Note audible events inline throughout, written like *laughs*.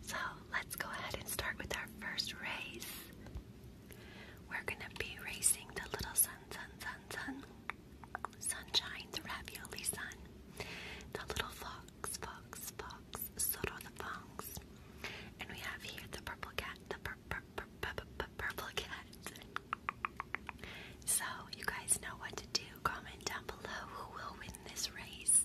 So let's go ahead and start with our first race. We're gonna be racing the little sun, sun, sun, sun, sunshine, the ravioli sun, the little fox, fox, fox, Soro the fox, and we have here the purple cat, the pur pur purple cat. So you guys know what to do. Comment down below who will win this race.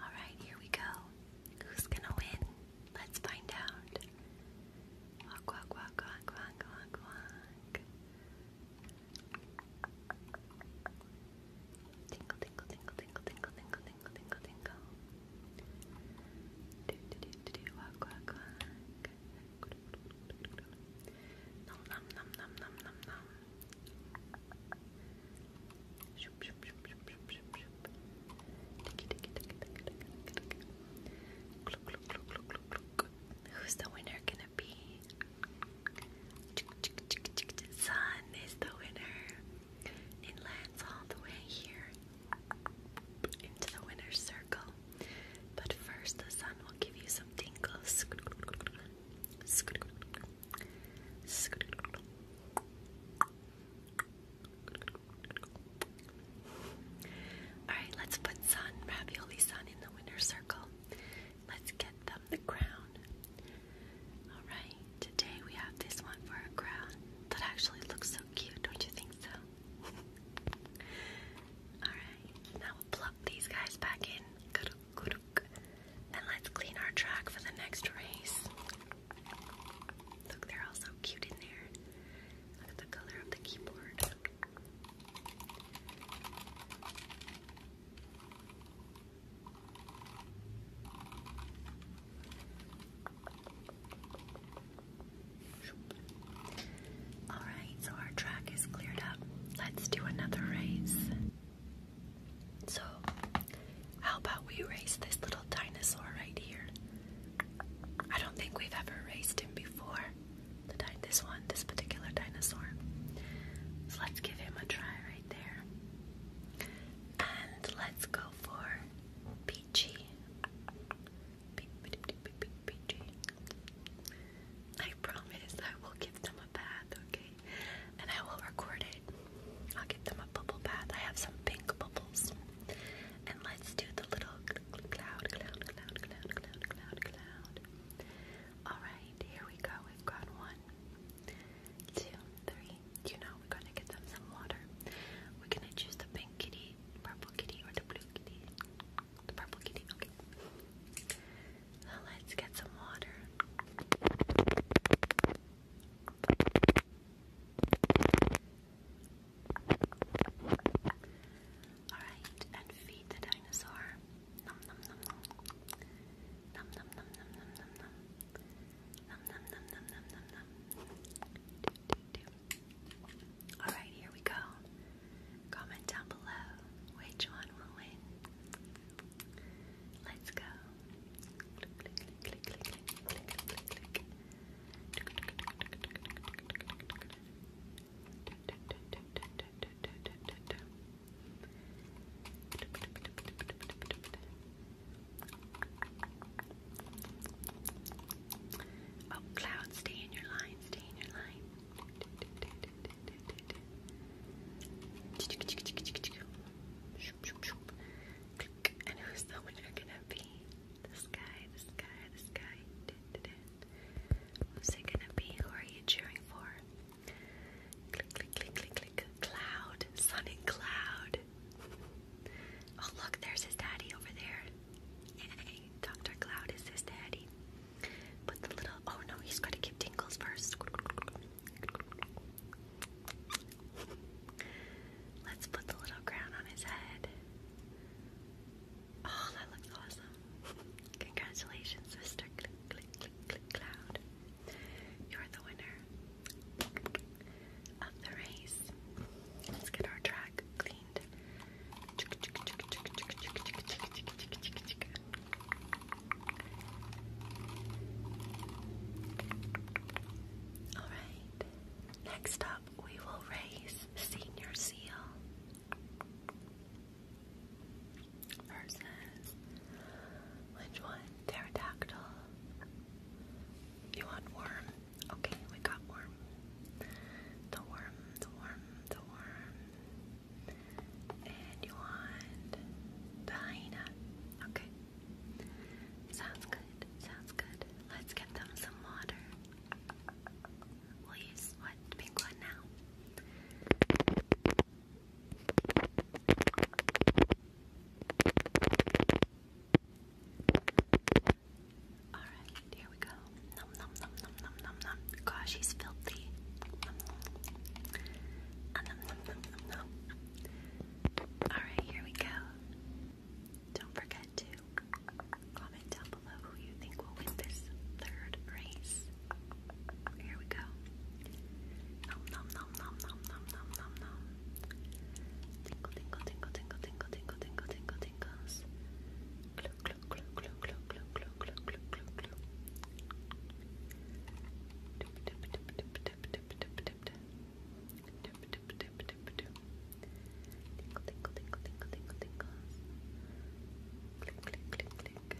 Alright, here we go. Who's gonna win? Let's find out. Walk, walk, walk, walk, walk, walk, walk. Tingle, tingle, tingle, tingle, tingle, tingle, tingle, tingle, tingle. Do, do, do, do, Nom, nom, nom, nom, nom, nom, nom. Who's the winner gonna be? Chick, Sun is the winner. It lands all the way here into the winner's circle. But first, the sun will give you some tingles. Alright, let's put sun, ravioli sun in the winter circle. Let's get them the crown. Alright, today we have this one for a crown. That actually looks so cute, don't you think so? *laughs* Alright, now we'll plug these guys back in. And let's clean our track for the next race. Look, they're all so cute in there. Look at the color of the keyboard. Alright, so our track is cleared up. Let's do another race. So, how about we race this little dinosaur right here? I don't think we've ever raced him before. this one, this particular dinosaur. So let's give him a try right there. And let's go for Peachy. peachy. I promise I will give them a bath, okay? and I will record it. I'll give them a bubble bath. I have some pink bubbles. And let's do the little cloud, cloud, cloud, cloud, cloud, cloud, cloud. Alright, here we go. We've got one, two, three. You know, we're gonna get them some water. We're gonna choose the pink kitty, purple kitty, or the blue kitty. The purple kitty, okay let's get some water. Alright, and feed the dinosaur. Alright, here we go. Comment down below which one will win. Let's go. Oh, cloud, stay in your line, stay in your line. And who's the winner gonna be? This guy, this guy, this guy. Who's it gonna be? Who are you cheering for? Click, click, click, click, click. Cloud, sun and cloud. Oh, look, there's his daddy over there. Yay, Dr. Cloud is his daddy. But the little, oh no, he's gotta give tingles first. Let's put the little crown on his head. Oh, that looks awesome. Congratulations, Mr. Cloud. You're the winner of the race. Let's get our track cleaned. Alright, next up we will raise Senior Seal versus which one? Pterodactyl. You want worm? Okay, we got worm. The worm, the worm, the worm. And you want the hyena. Okay. Sounds good. Sounds good. Let's get them some water. We'll use what pink one now. Alright, here we go. Nom nom nom nom nom nom nom. Gosh, he's filthy. Nom, nom. Ah, nom, nom, Alright, here we go. Don't forget to comment down below who you think will win this third race. Here we go. Nom nom nom nom nom nom nom nom nom. Tingle tingle tingle tingle tingle tingle tingle tingle tingles. Glue glue glue glue glue glue glue glue glue glue glue. Doop doop doop doop tip, tip, tip, tip, tip. Tip, tip, tip, tip, tip. Tinkle, tinkle, tinkle, tinkle, tinkle, tinkles. Click, click, click, click.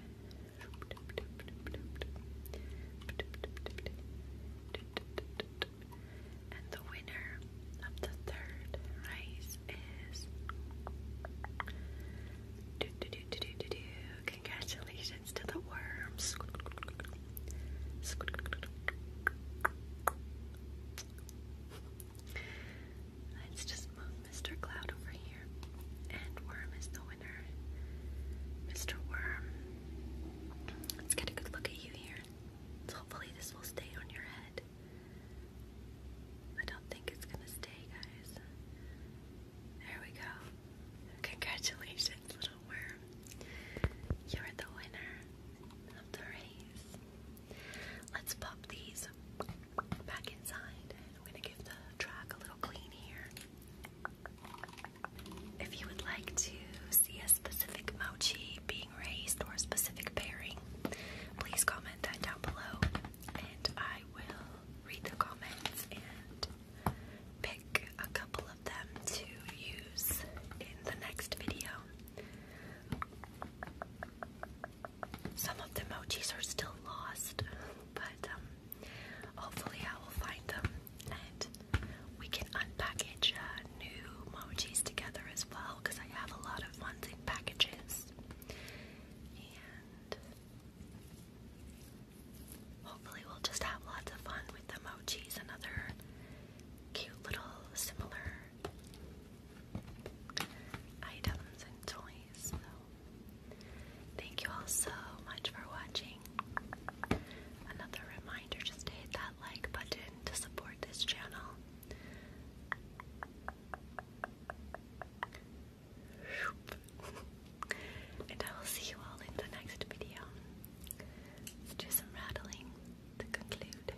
Shoop, tip, tip, tip, tip, tip. Tip, tip, tip, tip. Tip, tip, And the winner of the third race is. do, do, do, do, do, do. Congratulations! It's to worms. Let's just move Mr. Cloud over here. And Worm is the winner. Mr. Worm. Let's get a good look at you here. hopefully this will stay on your head. I don't think it's gonna stay, guys. There we go. Congratulations little worm. You're the winner of the race. Let's pop these back inside. I'm going to give the track a little clean here. If you would like to see a specific mochi being raised or a specific pairing, please comment that down below and I will read the comments and pick a couple of them to use in the next video. Some of the emojis are still lost, but um, hopefully I will find them and we can unpackage uh, new emojis together as well because I have a lot of ones in packages. Hopefully, we'll just have lots of fun with the and other cute little similar items and toys. thank you all so much for watching. Another reminder just to hit that like button to support this channel. And I will see you all in the next video. do some rattling to conclude.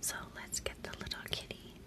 So let's get the little kitty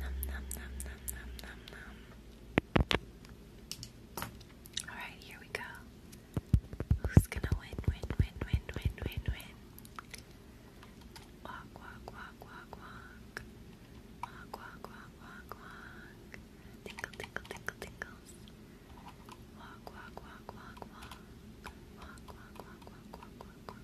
Nom nom Alright, here we go. Who's gonna win, win, win, win, win, win, win? Walk, walk, walk, walk, walk. Walk, walk, walk, walk, walk. Tinkle, tinkle, tinkle, tinkles. Walk, walk, walk, walk, walk. Walk, walk, walk, walk, walk, walk, walk.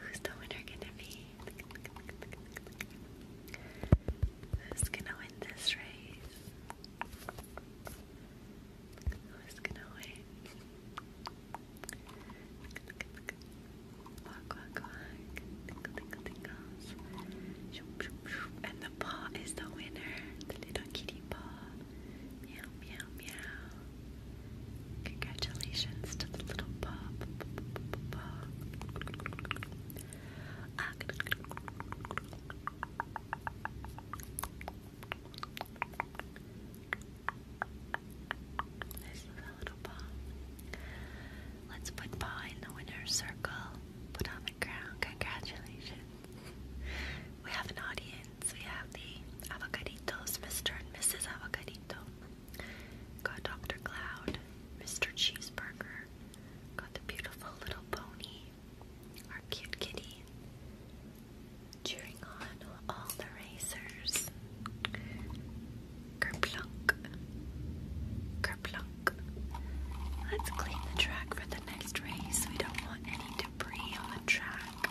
Who's the winner gonna be? Who's gonna win this race? Who's gonna win? Walk, walk, walk. And the paw is the winner. The little kitty paw. Meow, meow, meow. Congratulations to the little pup. paw. Let's put paw in the winner's circle. Put on the ground. Congratulations. we have an audience. We have the Avocaditos, Mr. and Mrs. Avocadito. Got Dr. Cloud, Mr. Cheeseburger, got the beautiful little pony, our cute kitty, cheering on all the racers. Kerplunk, kerplunk. Let's clean the track for the next race. We don't want any debris on the track.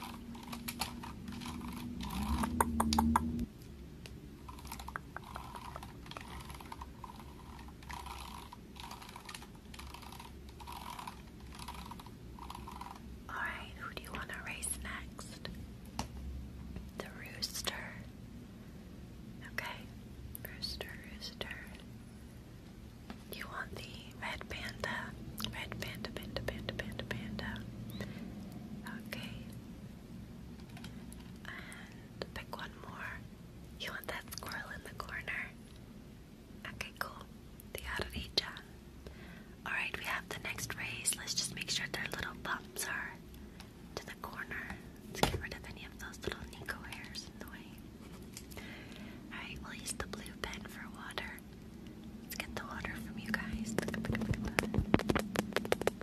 All right, who do you want to race next? The rooster. Okay, rooster, rooster. You want the red panda? Red panda, panda, panda, panda, panda. Okay, pick one more. You want that squirrel in the corner? Okay, cool. The Arija. Alright, we have the next race. Let's just make sure their little bumps are in the corner. Let's get rid of any of those little Nico hairs in the way. Alright, we'll use the blue pen for water. Let's get the water from you guys. Alright,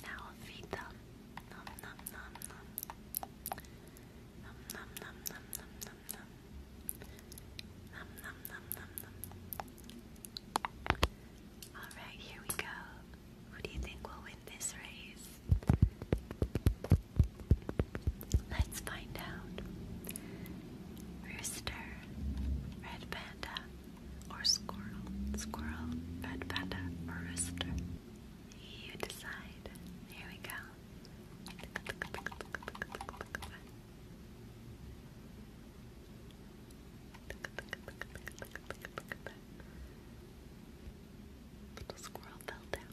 now I'll feed them. Nom nom nom nom. Nom nom nom nom nom nom nom. Nom nom nom Alright, here we go. Who do you think will win this race? Let's find out. Rooster, red panda, or squirrel, squirrel, red panda, or rooster. You decide. Here we go. Little squirrel fell down.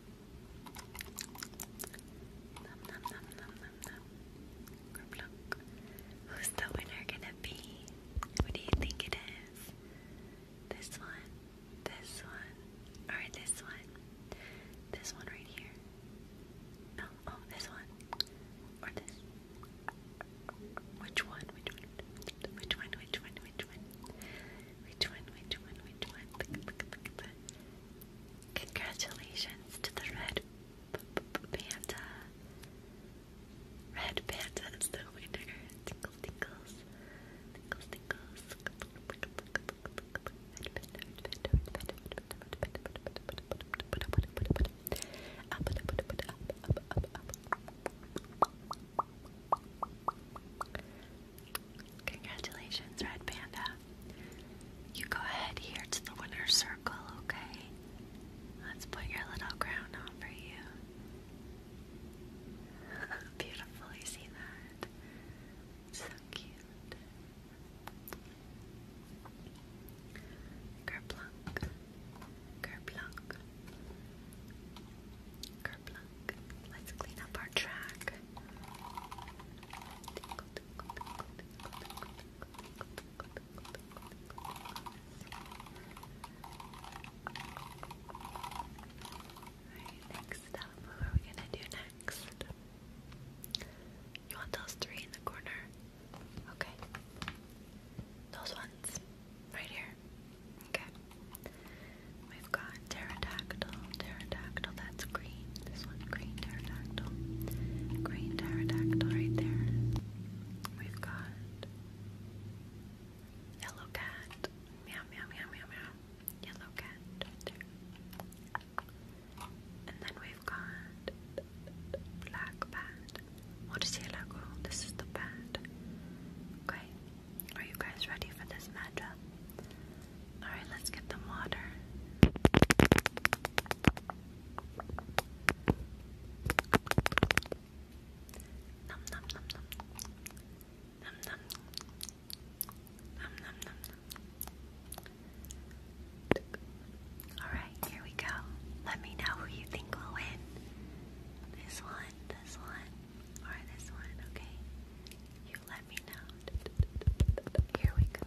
Who's the winner gonna be? What do you think it is? This one, this one, or this one? This one right here. No, oh, this one. Or this. Which one? Which one? Which one? Which one? Which one? Which one? Congratulations to the red panda. Red panda is the winner. Tinkle tingles. Congratulations, Red Panda. You go ahead here to the winner's circle, okay? Let's put your little crown on for you. *laughs* Beautiful, you see that? So cute. Kerplunk, kerplunk, kerplunk. Let's clean up our track next up, what are we gonna do next? You want those three in the corner? Okay. Those ones. Right here. Okay. We've got pterodactyl, pterodactyl. That's green. This one, green pterodactyl. Green pterodactyl right there. We've got yellow cat. Meow, meow, meow, meow, meow. Yellow cat And then we've got black bat. What is yellow? This is the bat. Okay. Are you guys ready for this matchup? Alright, let's get them water. Nom nom nom nom. Nom nom. Nom nom nom nom. Alright, here we go. Let me know who you think will win. This one, this one, or this one, okay? You let me know. Here we go.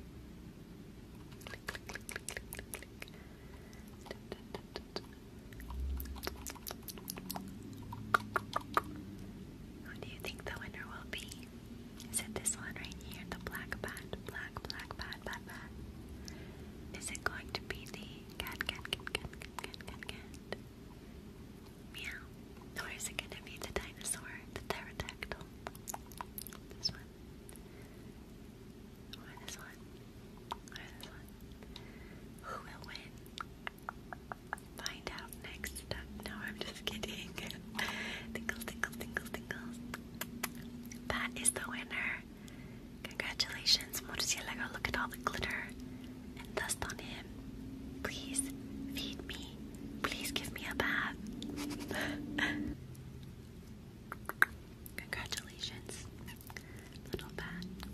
Who do you think the winner will be? Is it this one right here, the black bat, black, black bat, bat, bat? Is it going to be the cat, cat, cat, cat, cat, cat, cat, cat? Meow. Or is it going to be the dinosaur, the pterodactyl? This one. Or this one. Or this one. Who will win? Find out next No, I'm just kidding. tinkles, *laughs* tinkles, tinkles, tinkles. That is the winner. Congratulations, Murcielago. Look at all the glitter and dust on him. Please feed me Please give me a bath. *laughs* Congratulations, little bat. The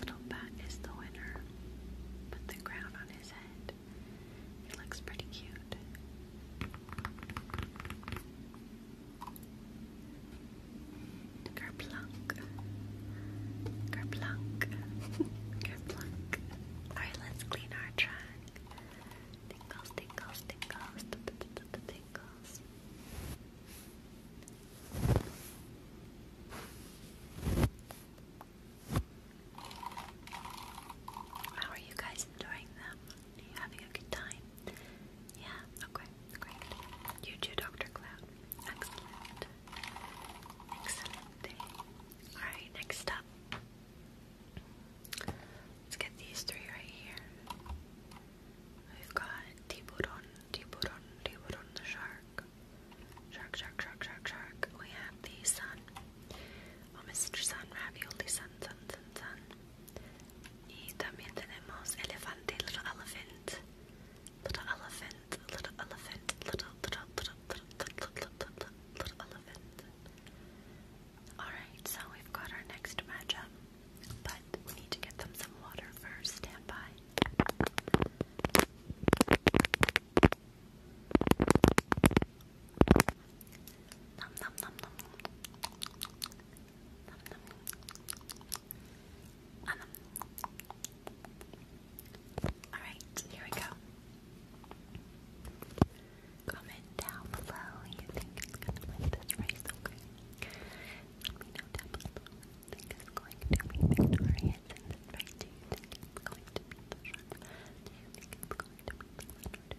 little bat is the winner. Put the crown on his head. It looks pretty cute. Kerplunk. Kerplunk. *laughs* Kerplunk. Alright, let's clean our trunk. Tingles, tingles, tingles, t -t How are you guys enjoying them? having a good time? Yeah, okay, great. You too, Dr. Cloud. Excellent. Excellent Alright, next up. Let's get these three right here. We've got Tiburon, Tiburon, Tiburon the shark. Shark, shark, shark, shark, shark. We have the sun. Oh, Mr. Sun, ravioli, sun, sun, sun, sun. Y little elephant, little elephant, little elephant, little, elephant. Alright, so we've got our next matchup, but we need to get them some water first. Stand by. Um, Alright, here we go. Comment down below you think it's gonna win this race, okay? Let me know down below think it's going to be this race. Do think it's going to be the you think it's going to be the winner?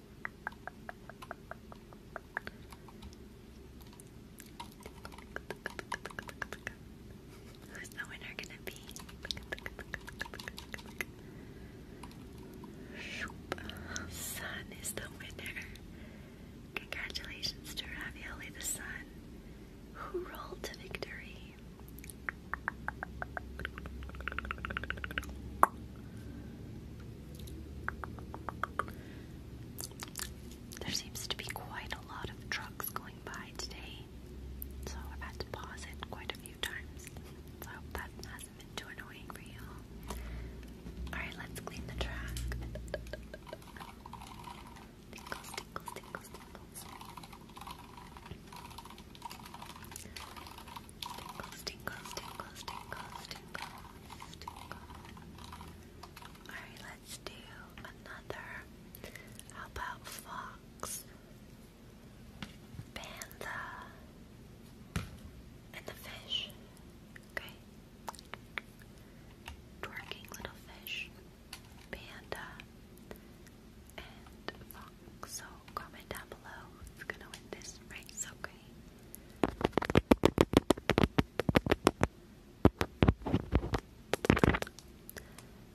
Who's the winner gonna be? Sun is the winner. Congratulations to Ravioli the Sun, who rolled to victory. There seems to be quite a lot of trucks going by today, so I've had to pause it quite a few times. *laughs* So that hasn't been too annoying for you. Alright, let's clean the track. Alright, let's do another. How about fox? Panda and the fish. Okay. Twerking little fish. Panda and fox. So comment down below who's gonna win this race, okay? Nom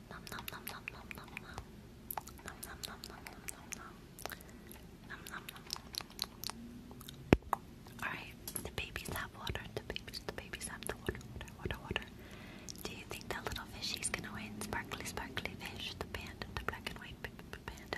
nom nom nom nom nom nom. Nom nom nom nom nom nom nom. Nom nom nom. Alright, the babies have water. The babies, the babies have the water, water, water, water. Do you think that little fishy's gonna win? Sparkly, sparkly fish, the panda, the black and white panda,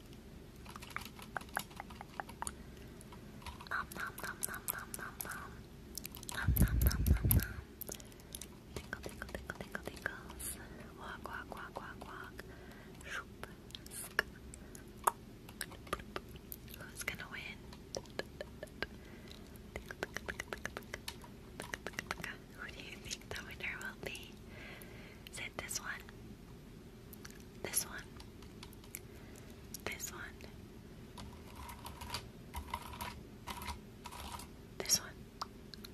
Nom nom nom nom nom nom nom. Nom nom nom nom nom. Tinkle tinkle tinkle tinkle tinkles. Walk walk walk walk walk. Who's gonna win? Who do you think the winner will be? Is it this one? This one. This one. This one.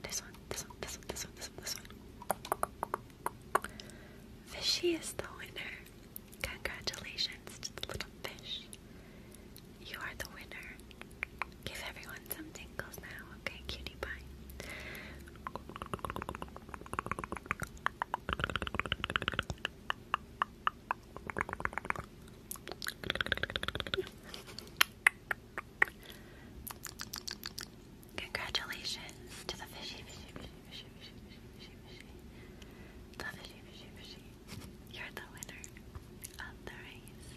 This one. This one. This one. This one. This one. This one. Fishy is the winner. Congratulations to the little fish. You are the winner. Give everyone some tingles now, okay, cutie? Pinkie Pie. Congratulations to the fishy, fishy, fishy, fishy, fishy, fishy, fishy, fishy. The fishy, fishy, fishy. You're the winner of the race.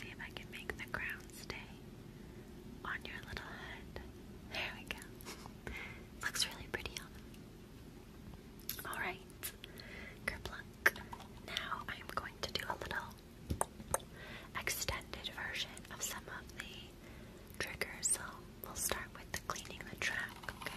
See if I can make the crown stay on your little head. There we go. *laughs* Looks really pretty on them. Alright, Kerplunk. Now I'm going to do a little extended version of some of the triggers. So we'll start with the cleaning the track, Okay.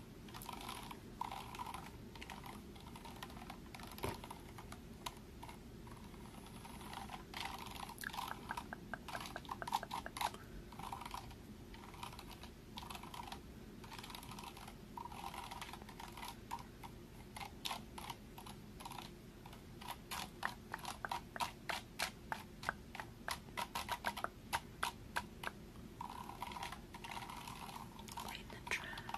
Right in the trash.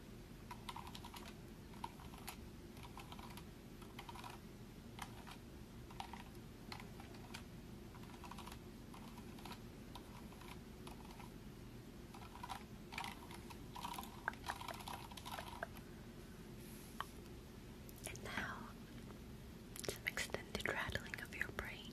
And now, some extended rattling of your brain.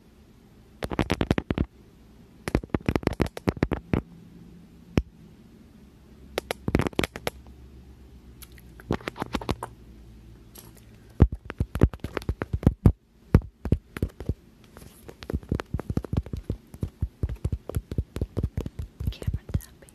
Camera tapping.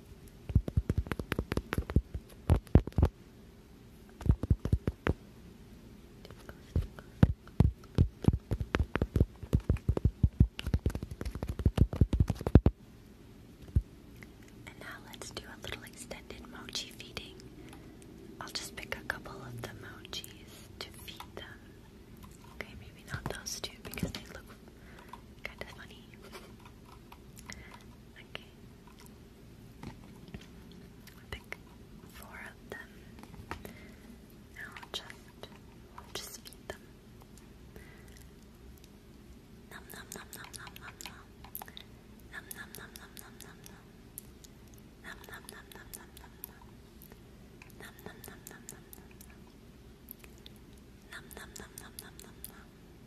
And now let's do a little extended mochi feeding. I'll just pick a couple of the mochis to feed them. Okay, maybe not those two because they look kind of funny. Okay. I think four of them. Now just, just eat them. Nom nom nom nom nom nom nom. Nom nom nom nom nom nom nom. Nom nom nom nom nom nom nom. Nom nom nom nom nom nom nom. Nom nom nom nom nom nom nom.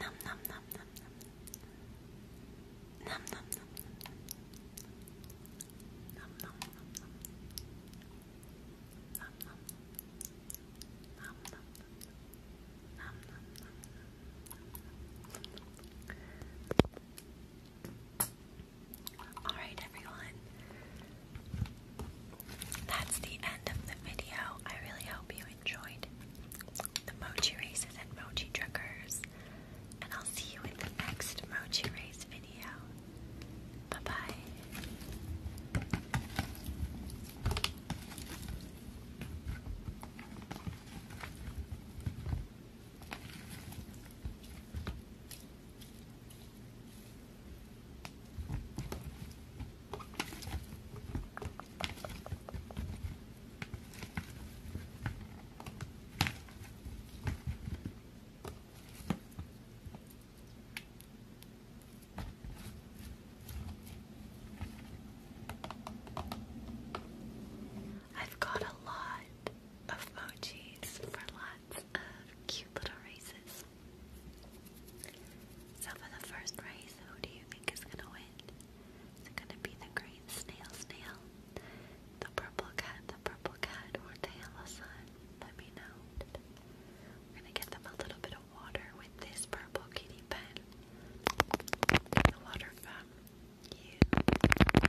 Nom nom All right, everyone. That's the end of the video. I really hope you enjoyed the mochi races and mochi truckers. And I'll see you in the next mochi race video. Bye bye. I've got a lot of emojis for lots of cute little races. So for the first race, who do you think is gonna win? Is it gonna be the green snail snail? The purple cat, the purple cat, or the yellow sun? Let me know. We're gonna get them a little bit of water with this purple kitty pen. The water from you. And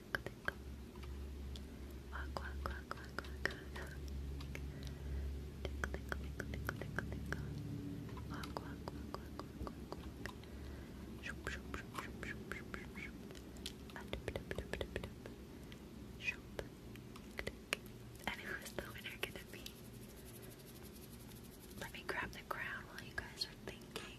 tickle, tickle. Walk, walk, walk, walk, walk, walk. Tickle, tickle, tickle, tickle, tickle, tickle. Walk, walk, walk, walk, walk, walk, walk. Shoop, shoop, shoop, shoop, shoop, shoop, shoop, shoop. Ah, dip, dip, dip, dip, dip. Shoop. Click. And who's the winner gonna be? Let me grab the crown while you guys are thinking.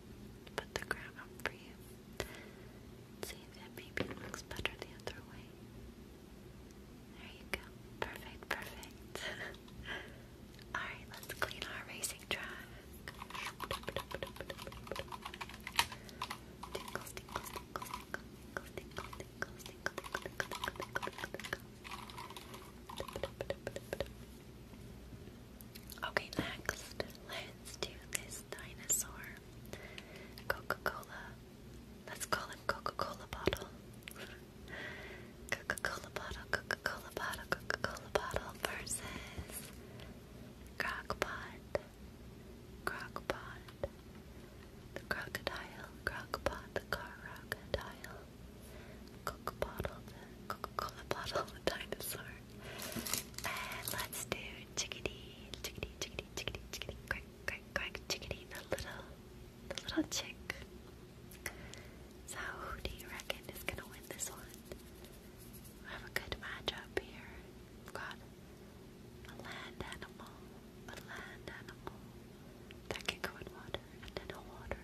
to put the crown up for you. See if it maybe looks better the other way. There you go. Perfect, perfect. Alright, let's clean our racing track. Okay, next, let's do this dinosaur. Coca Cola. Let's call him Coca Cola bottle. Coca Cola bottle, Coca Cola bottle, Coca Cola bottle versus Crockpot. Crockpot. The crocodile, Crockpot, the crocodile. Coke bottle, Coca-Cola bottle, the *laughs* dinosaur. And let's do chickadee, chickadee, chickadee, chickadee, chickadee, crack, crack, crack, chickadee, the little, the little chick. So who do you reckon is gonna win this one? We have a good matchup here. We've got a land animal, a land animal that can go in water, and then a water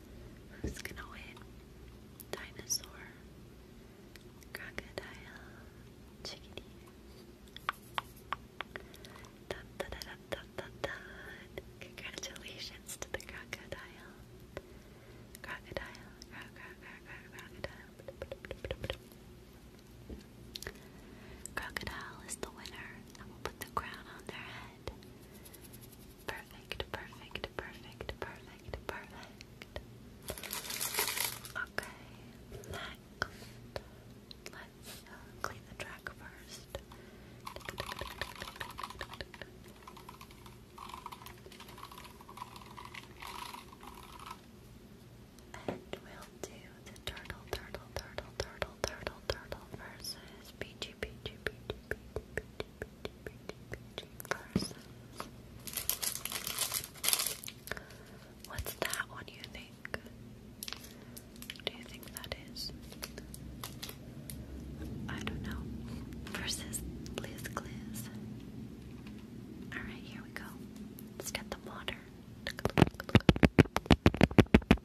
Who's gonna win? Dinosaur, crocodile, chickadee. Dun, dun, dun, dun, dun, dun. Congratulations to the crocodile. Crocodile, cro cro cro crocodile. Crocodile is the winner, and will put the crown on their head. Perfect, perfect, perfect, perfect, perfect. Okay, next. Let's uh, clean the track first. And we'll do the turtle, turtle, turtle, turtle, turtle, turtle versus peachy, What's that one you think? Do you think that is? I don't know. Versus Liz Gliz. Alright, here we go. Let's get the water.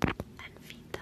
And feed them.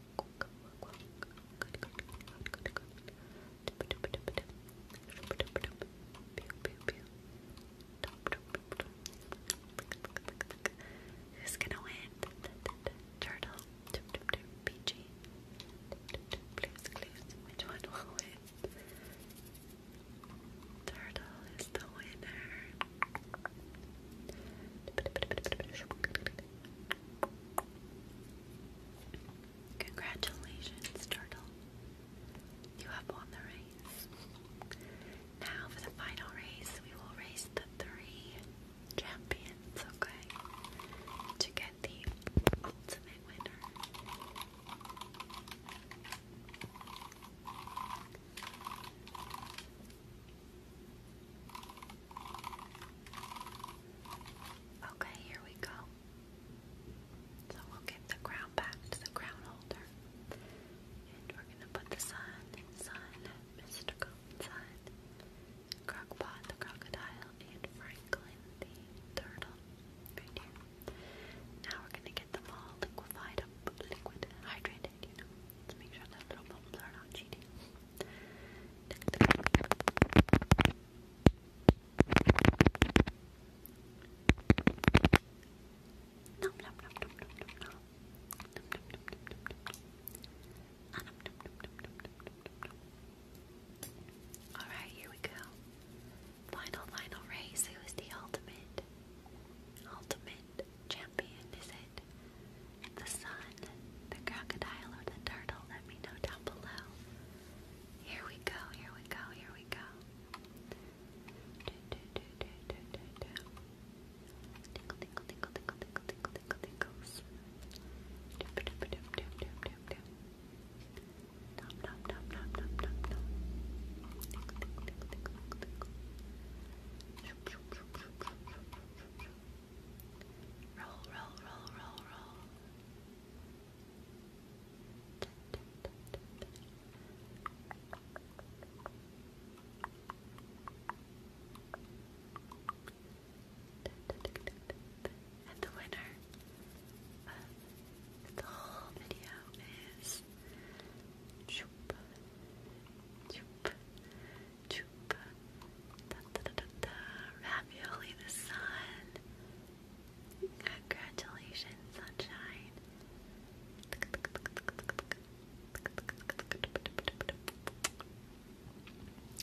Who's gonna win? Turtle, peachy. Blues clues. Which one will win? Turtle is the winner. Congratulations, Turtle. You have won the race. Now, for the final race, we will race the three champions, okay? To get the ultimate winner. Okay, here we go. So we'll get the crown back to the crown holder. And we're gonna put the sun, sun, mystical sun, Crockpot the crocodile, and Franklin the turtle right here. Now we're gonna get them all liquefied up, liquid, hydrated, you know. Let's make sure that little bubbles are not cheating. All right, here we go. Final final race. Who is the ultimate ultimate champion? Is it it? The sun, the crocodile, or the turtle? Let me know down below. Here we go, here we go, here we go. Do, do, do, do, do, do, do. Tinkle, tinkle, tinkle, tinkle, tinkle, tinkle, tinkle, tinkles. Doop, doop, doop, doop, doop, doop, doop. Nom, nom, nom, nom, nom, nom, nom. Tinkle, tinkle, tinkle, tinkle, tinkle, tinkle. Shoop, shoop, shoop, shoop, shoop, shoop, Roll, roll, roll, roll, roll. And the winner of the whole video is Choop, Choop, Ravioli the sun. Congratulations, sunshine.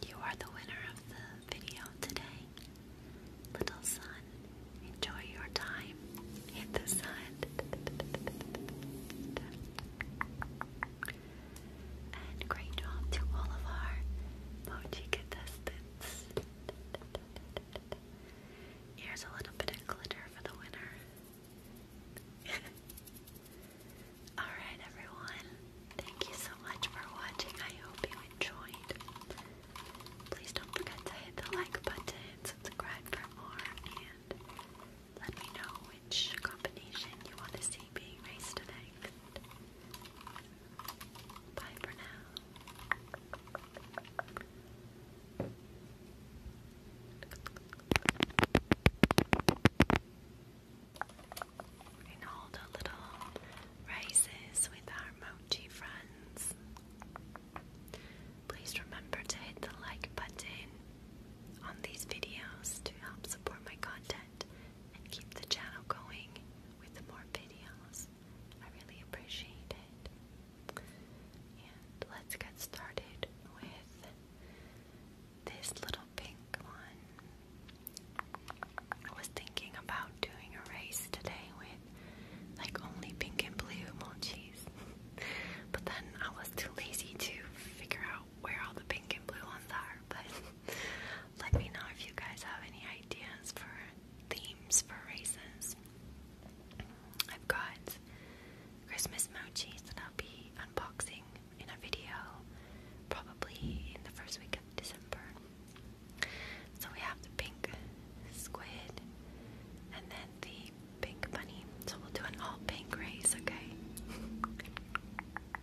You are the winner of the video today. Little sun, enjoy your time in the sun. And great job to all of our mochi contestants. Here's a little bit of glitter for the winner. *laughs* Alright, everyone. Thank you so much for watching. I hope you enjoyed. Please don't forget to hit the like button, subscribe for more, and let me know which combination you want to see being raised next. Bye for now. And all the little raises with our mochi friends. Please remember to hit the like button on these videos to help support my content and keep the channel going with more videos. I really appreciate it. And let's get started with this little pink one. I was thinking about doing a race today with like only pink and blue emojis. *laughs* but then I was too lazy to figure out where all the pink and blue ones are, but let me know if you guys have any ideas for themes for races. I've got Christmas mochis that I'll be unboxing in a video probably in the first week of December. So we have the pink squid and then the pink bunny. So we'll do an all pink race, okay? *laughs*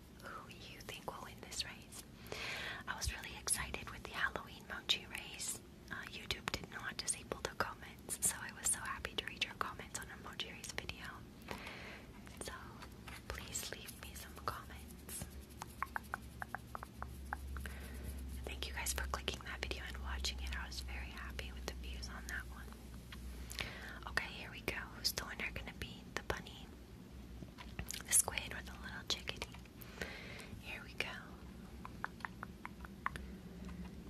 who you think will win this race. I was really excited with the Halloween Mochi race. Uh, YouTube did not disable the comments, so I was so happy to read your comments on our Mochi race video. So please leave me some comments. Thank you guys for clicking that video and watching it. I was very happy with the views on that one. Okay, here we go. Who's the winner gonna be? The bunny. The squid with the little chickadee. Here we go.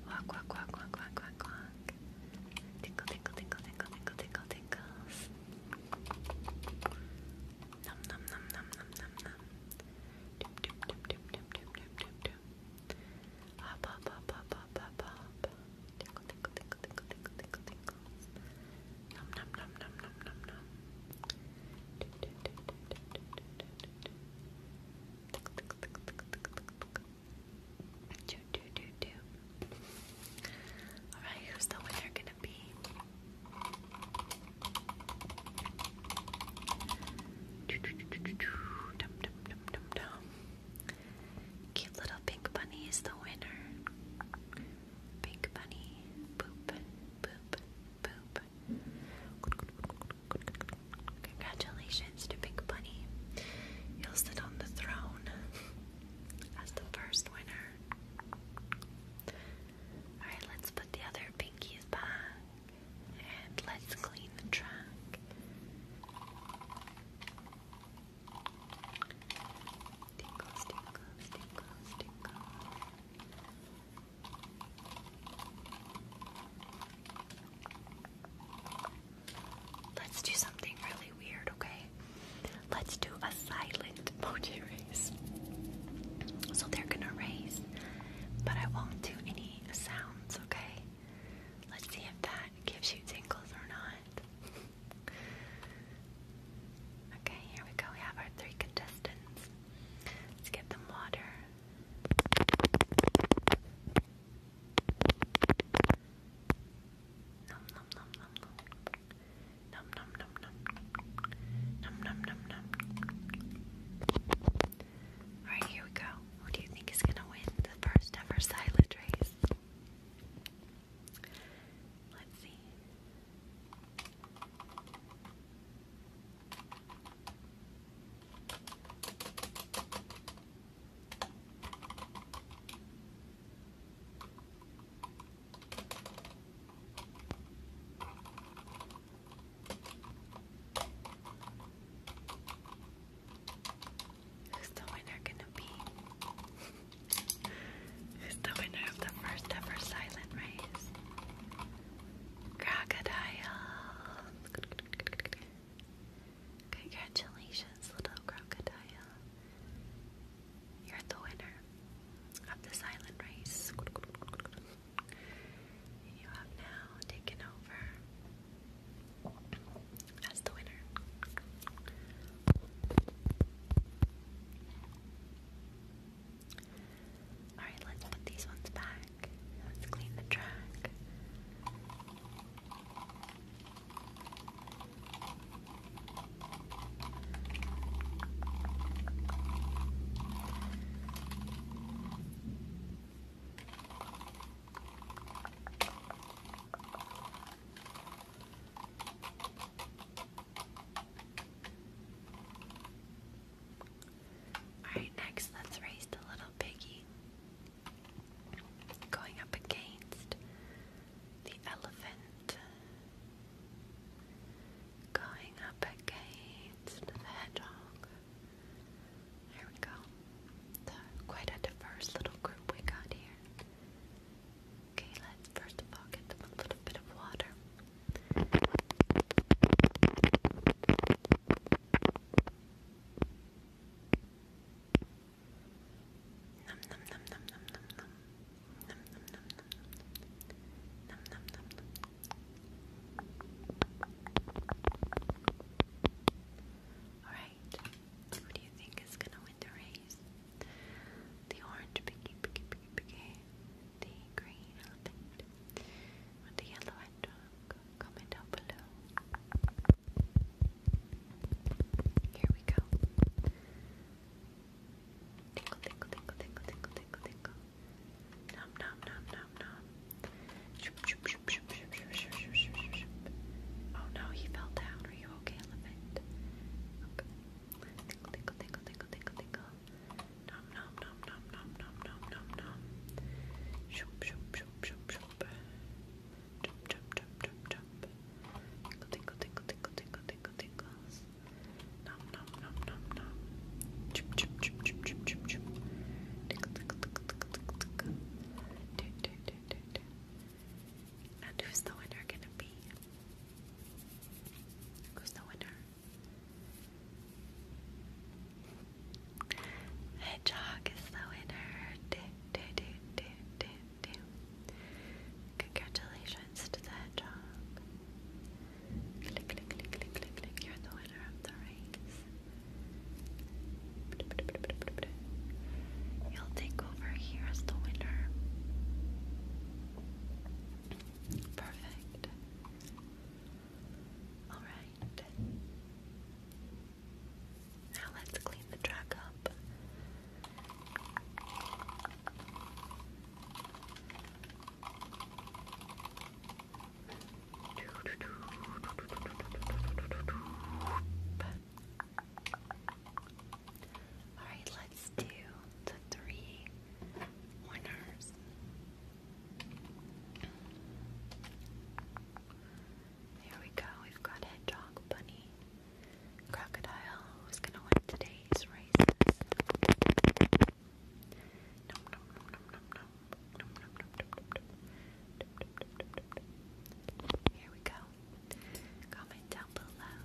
Walk, walk, walk, walk, walk, walk, walk. Tinkle, tinkle, tinkle, tinkle, tinkle, tinkle, tinkles. Nom, nom, nom, nom, nom, nom, nom. Doop, doop, doop, doop, doop, doop, doop, doop, doop. Hop, hop, hop, hop, hop, hop, hop. Tinkle, tinkle, tinkle, tinkle, tinkle, tingles. Nom nom nom nom nom nom Do do do do. All right, who's the winner gonna be? Do, do, do, do, do. Dum, dum, dum, dum, dum. Cute little pink bunny is the winner. Pink bunny. Poop. Poop. Poop. Congratulations to Pink Bunny. You'll sit on the throne as the first winner. Alright, let's put the other pinkies back and let's clean the track. Tinkles, tinkles, tinkles, tinkles. Let's do something really weird, okay? Let's do a silent *laughs* emoji race. So they're gonna raise, but I won't do any sounds, okay? Let's see if that gives you tingles or not. Okay, here we go. We have our three contestants. Let's get them water. Nom nom nom nom nom. Nom nom nom nom. Nom nom nom Alright, here we go. Who do you think is gonna win the first ever silent race? Let's see. Who's the winner gonna be? *laughs* Who's the winner of the first ever silent race? Crocodile. Congratulations, little crocodile. You're the winner of the silent race. You have now taken over as the winner. Alright, let's put these ones back. Let's clean the track. Alright, next let's raise the little piggy. Going up against the elephant. Going up against the hedgehog. There we go. quite a diverse little group we got here. Okay, let's first of all a little bit of water. All right. Who do you think is gonna win the race? The orange piggy, piggy, piggy, piggy, the green elephant, the yellow hedgehog? Comment down below. Here we go. Tickle, tickle, tickle, tickle, tickle, tickle, tickle. Nom, nom, nom, nom, nom. Oh no, he fell down. Are you okay, elephant? Okay. Tickle, tickle, tickle, tickle, tickle, nom nom nom nom nom nom nom nom nom Shoop shoop shoop shoop shoop Jump jump jump jump jump Tinkle tinkle tinkle tinkle tinkle tinkle tinkles Nom nom nom nom nom Chip chip chip chip chip chip chip Tinkle tinkle tinkle tinkle tinkle tinkle Tick tick tick tick tick And who's the winner gonna be? Who's the winner? Hedgehog is the winner. Do, do, do, do, do, do. Congratulations to the hedgehog. Click, click, click, click, click, click. You're the winner of the race. You'll take over here as the winner. Perfect. Alright. Now let's clean the track up. Alright, let's do the three winners. Here we go, we've got Hedgehog, Bunny, Crocodile, who's gonna win today's races? Here we go. Comment down below.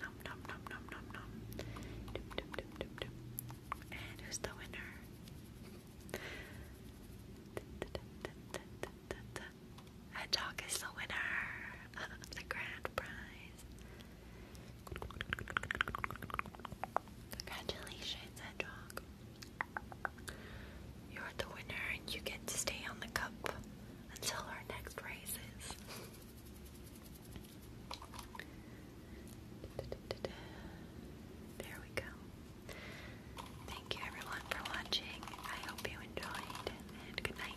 Nom nom nom nom nom nom. Dum, dum, dum, dum, dum. And who's the winner? Hedgehog is the winner of *laughs* the grand prize. Congratulations, Hedgehog. You're the winner and you get to stay on the cup until our next race is. *laughs* There we go. Thank you everyone for watching. I hope you enjoyed and good night.